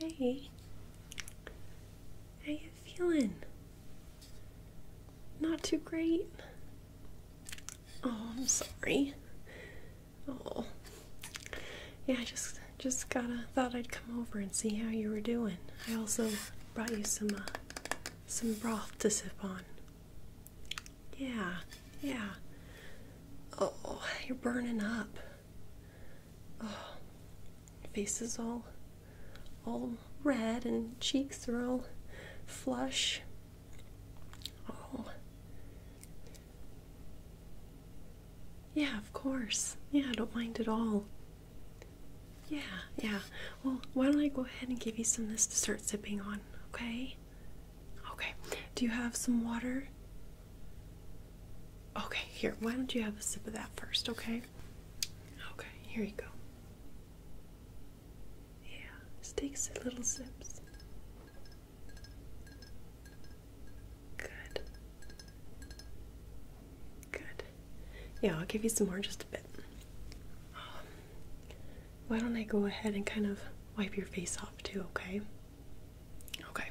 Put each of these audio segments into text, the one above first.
Hey, how you feeling? Not too great? Oh, I'm sorry. Oh, yeah, I just just gotta thought I'd come over and see how you were doing. I also brought you some uh, some broth to sip on. Yeah, yeah. Oh, you're burning up oh, faces all all red and cheeks are all flush. Oh. Yeah, of course. Yeah, I don't mind at all. Yeah, yeah. Well, why don't I go ahead and give you some of this to start sipping on, okay? Okay. Do you have some water? Okay, here, why don't you have a sip of that first, okay? Okay, here you go. Yeah, just take little sips. Good. Good. Yeah, I'll give you some more just a bit. Um, why don't I go ahead and kind of wipe your face off too, okay? Okay.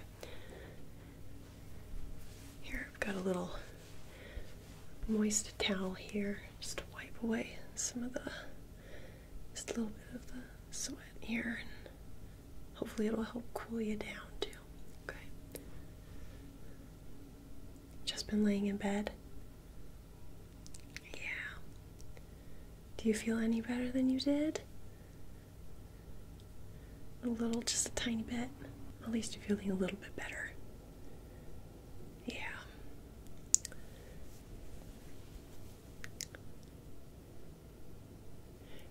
Here I've got a little moist towel here just to wipe away some of the just a little bit of the sweat here and hopefully it'll help cool you down too. Okay. Just been laying in bed. Yeah. Do you feel any better than you did? A little, just a tiny bit. At least you're feeling a little bit better. Yeah.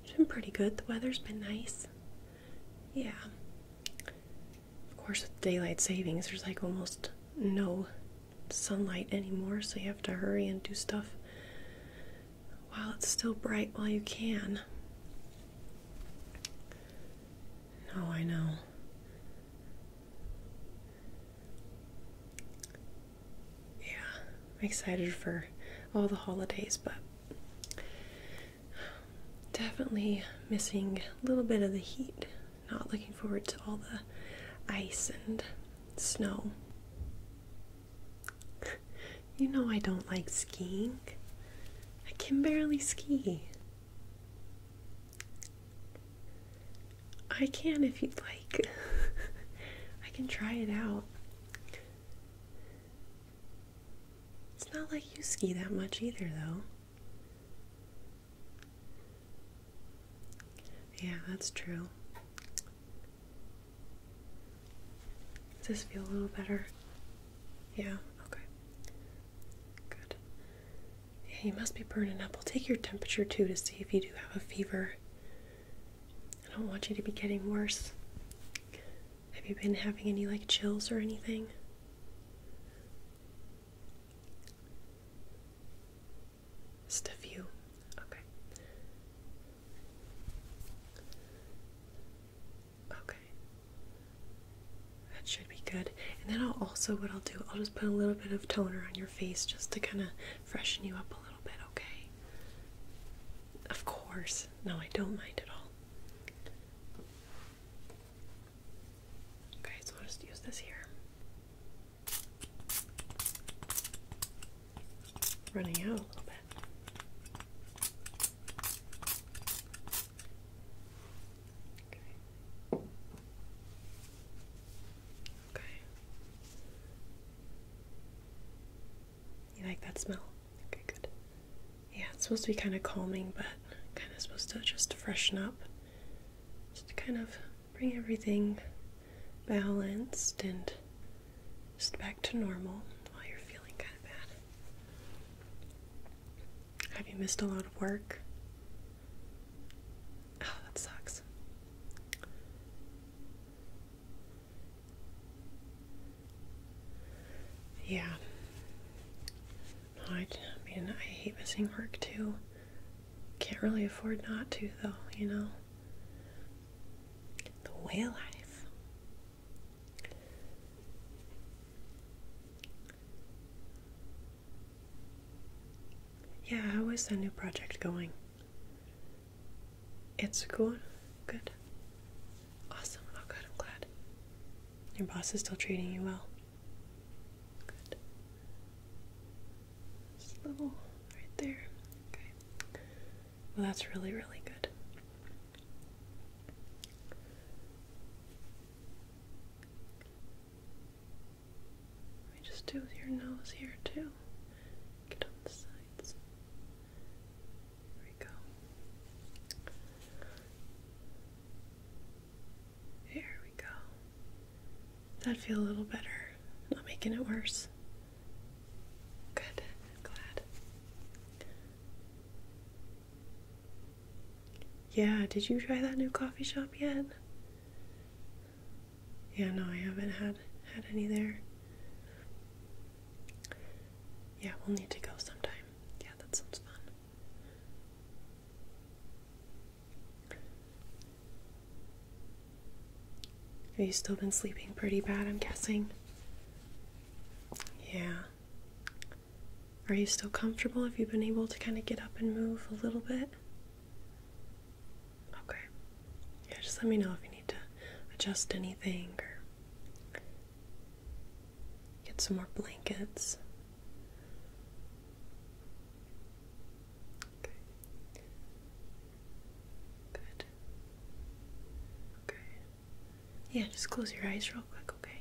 It's been pretty good. The weather's been nice. Yeah. Of course, with daylight savings, there's like almost no sunlight anymore, so you have to hurry and do stuff while it's still bright while you can. No, I know. Yeah, excited for all the holidays, but definitely missing a little bit of the heat. Not looking forward to all the ice and snow. you know I don't like skiing. I can barely ski. I can if you'd like. I can try it out. It's not like you ski that much either, though. Yeah, that's true. Does this feel a little better? Yeah, okay. Good. you must be burning up. we will take your temperature too to see if you do have a fever. I don't want you to be getting worse. Have you been having any like chills or anything? Stuff you. Okay. Okay. That should be good. And then I'll also, what I'll do, I'll just put a little bit of toner on your face just to kind of freshen you up a little bit, okay? Of course. No, I don't mind at all. Okay, so I'll just use this here running out a little bit. Okay. Okay. You like that smell? Okay, good. Yeah, it's supposed to be kind of calming, but kind of supposed to just freshen up. Just to kind of bring everything balanced and just back to normal while you're feeling kind of bad. Have you missed a lot of work? Oh, that sucks. Yeah. I mean, I hate missing work too. Can't really afford not to, though, you know? The whale life. Yeah, how is that new project going? It's going good. Awesome. Oh, good. I'm glad. Your boss is still treating you well. Good. Just a little right there. Okay. Well, that's really, really good. Let me just do your nose here too. Get on the sides. There we go. There we go that would feel a little better? Not making it worse. Good. glad. Yeah, did you try that new coffee shop yet? Yeah, no, I haven't had had any there. Yeah, we'll need to go sometime. Yeah, that sounds fun. Have you still been sleeping pretty bad, I'm guessing? Yeah. Are you still comfortable? Have you been able to kind of get up and move a little bit? Okay. Yeah, just let me know if you need to adjust anything or get some more blankets. Okay. Good. Okay. Yeah, just close your eyes real quick, okay?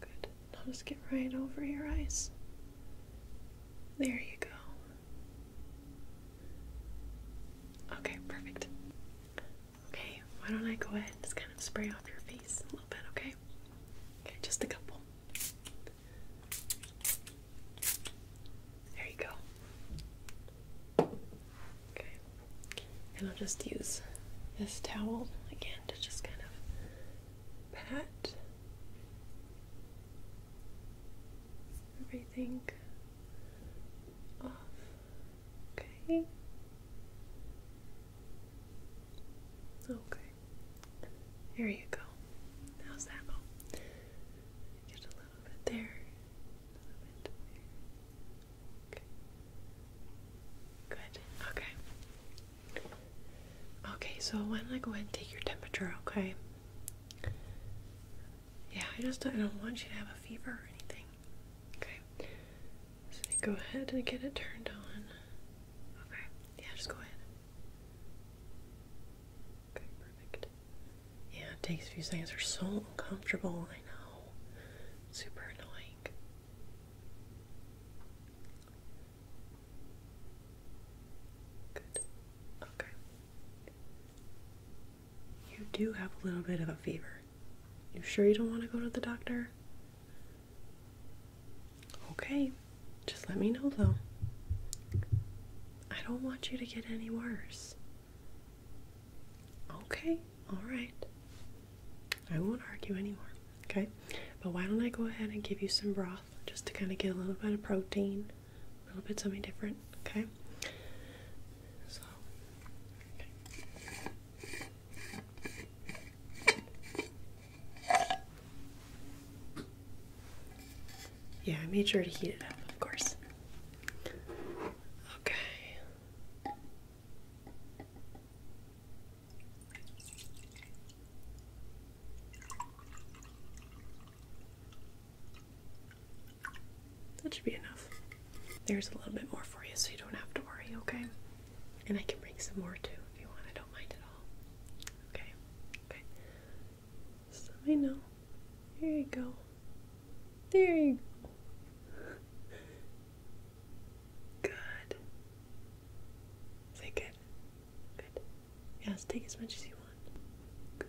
Good. Now just get right over your eyes. There you go. Okay, perfect. Okay, why don't I go ahead and just kind of spray off your face a little bit, okay? Okay, just a couple. There you go. Okay. And I'll just use this towel again to just kind of pat everything off. Okay. Okay. There you go. How's that? Oh, a little bit there. Okay. Good. Okay. Okay, so why don't I go ahead and take your temperature, okay? Yeah, I just don't, I don't want you to have a fever or anything. Okay. So go ahead and get it turned on. Okay. Yeah, just go ahead. Okay, perfect. Yeah, it takes a few seconds. They're so uncomfortable, I know. Super annoying. Good. Okay. You do have a little bit of a fever. You sure you don't want to go to the doctor? Okay, just let me know though. I don't want you to get any worse. Okay, alright. I won't argue anymore, okay? But why don't I go ahead and give you some broth just to kind of get a little bit of protein, a little bit something different, okay? So, yeah, I made sure to heat it up, of course. Okay. That should be enough. There's a little bit more for you so you don't have to worry, okay? And I can bring some more too if you want. I don't mind at all. Okay. Okay. Let me know. There you go. There you go. Good. Is that Good. Yes, take as much as you want.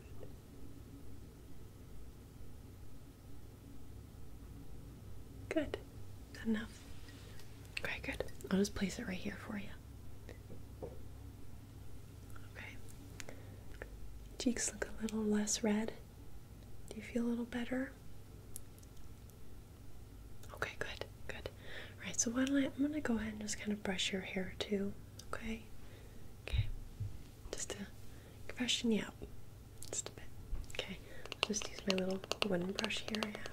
Good. Good. That enough? Okay, good. I'll just place it right here for you. Okay. Cheeks look a little less red. Do you feel a little better? Okay, good, good. All right, so why don't I, I'm gonna go ahead and just kind of brush your hair too, okay? Okay, just to freshen you up just a bit. Okay, I'll just use my little wooden brush here I have.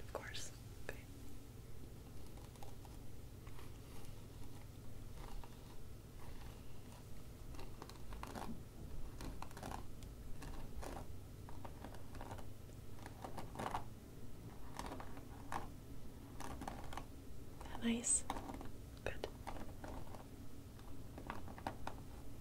Of course. Okay. nice. Good.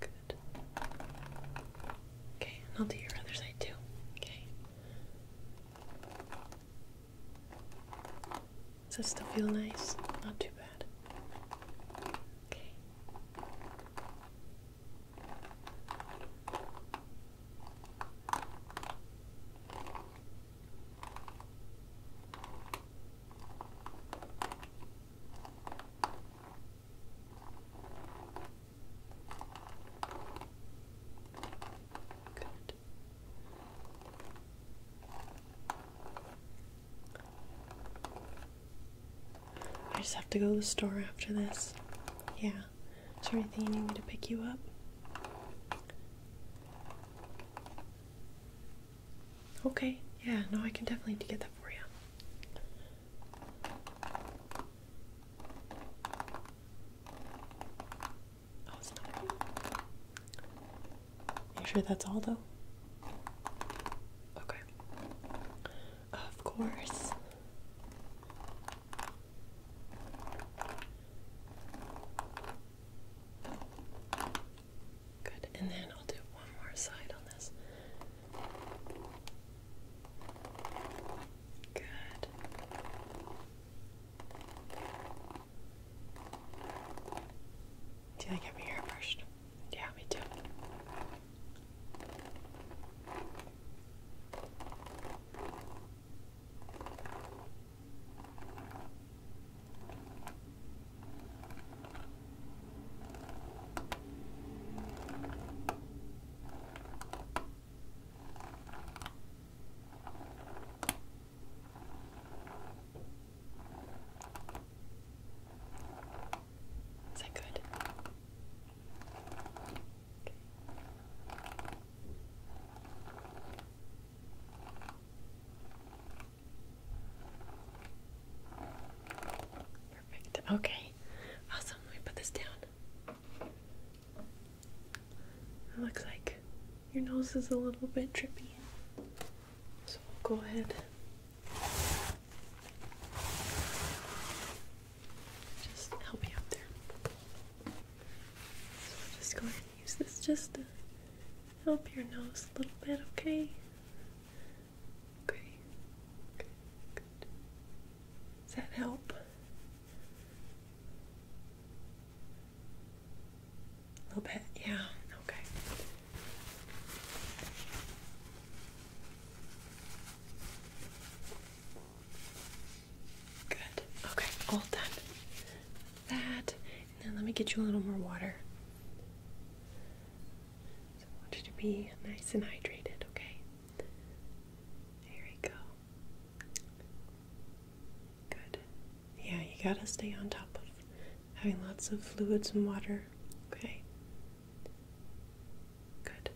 Good. Okay, and I'll do your other side too. Okay. Does that still feel nice? Not too bad. Okay. I just have to go to the store after this. Yeah. Is there anything you need me to pick you up? Okay, yeah, no, I can definitely get that for you. Oh, Are you sure that's all though? Okay. Of course. Good, and then I'll do one more side on this. Good. Do you like having your hair brushed? Yeah, me too. Is that good? Perfect. Okay. Awesome. Let me put this down. It looks like your nose is a little bit trippy. So we'll go ahead. Just help you out there. So just go ahead and use this just to help your nose a little bit, okay? Okay. Good. Does that help? A little bit, yeah. Okay. Good. Okay, all done. That. then let me get you a little more water. I want you to be nice and hydrated, okay? There we go. Good. Yeah, you gotta stay on top of having lots of fluids and water, okay? Good.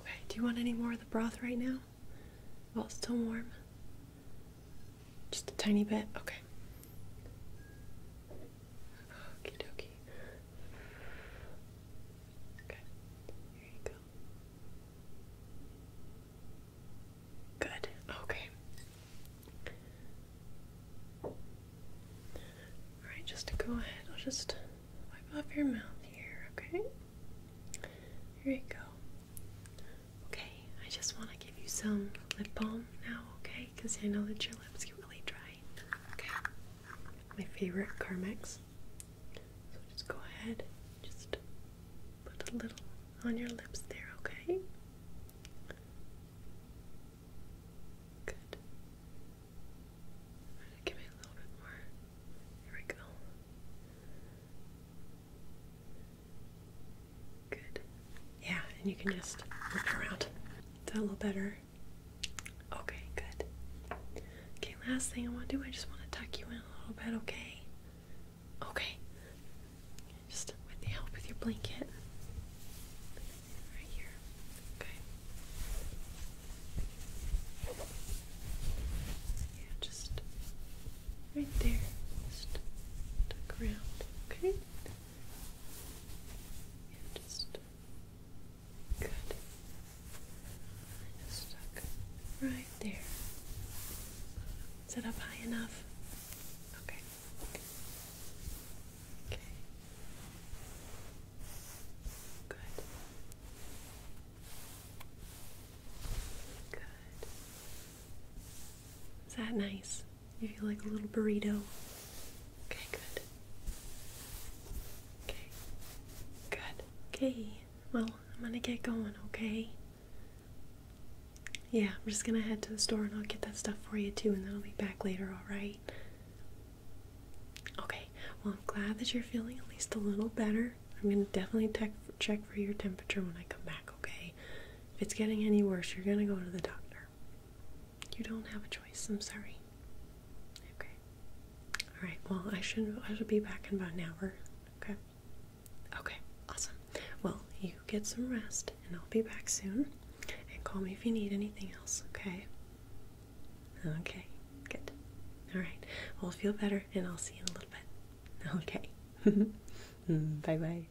Okay, do you want any more of the broth right now? While it's still warm? Just a tiny bit? Okay. Okie dokie. Okay, here you go. Good, okay. Alright, just go ahead, I'll just wipe off your mouth here, okay? Here you go. Okay, I just want to give you some lip balm now, okay? Because I know that your lips get really dry. Okay. My favorite Carmex. So just go ahead, just put a little on your lips there, okay? Good. Give me a little bit more. There we go. Good. Yeah, and you can just work it around. Is that a little better? Okay, good. Okay, last thing I want to do, I just want to tuck you in a little bit, okay? Okay. Just with the help of your blanket. Right here. Okay. Yeah, just right there. Just tuck around. Okay? just good. Just stuck right there. Is it up high enough? Okay. Okay. Good. Good. Is that nice? You feel like a little burrito. Okay, good. Okay, good. Okay, well, I'm gonna get going, okay? Yeah, I'm just gonna head to the store and I'll get that stuff for you too, and then I'll be back later, alright? Okay, well, I'm glad that you're feeling at least a little better. I'm gonna definitely check check for your temperature when I come back, okay? If it's getting any worse, you're gonna go to the doctor. You don't have a choice. I'm sorry. Okay. All right. Well, I should I should be back in about an hour. Okay. Okay. Awesome. Well, you get some rest, and I'll be back soon. And call me if you need anything else. Okay. Okay. Good. All right. Well, feel better, and I'll see you in a little bit. Okay. Mm, bye bye.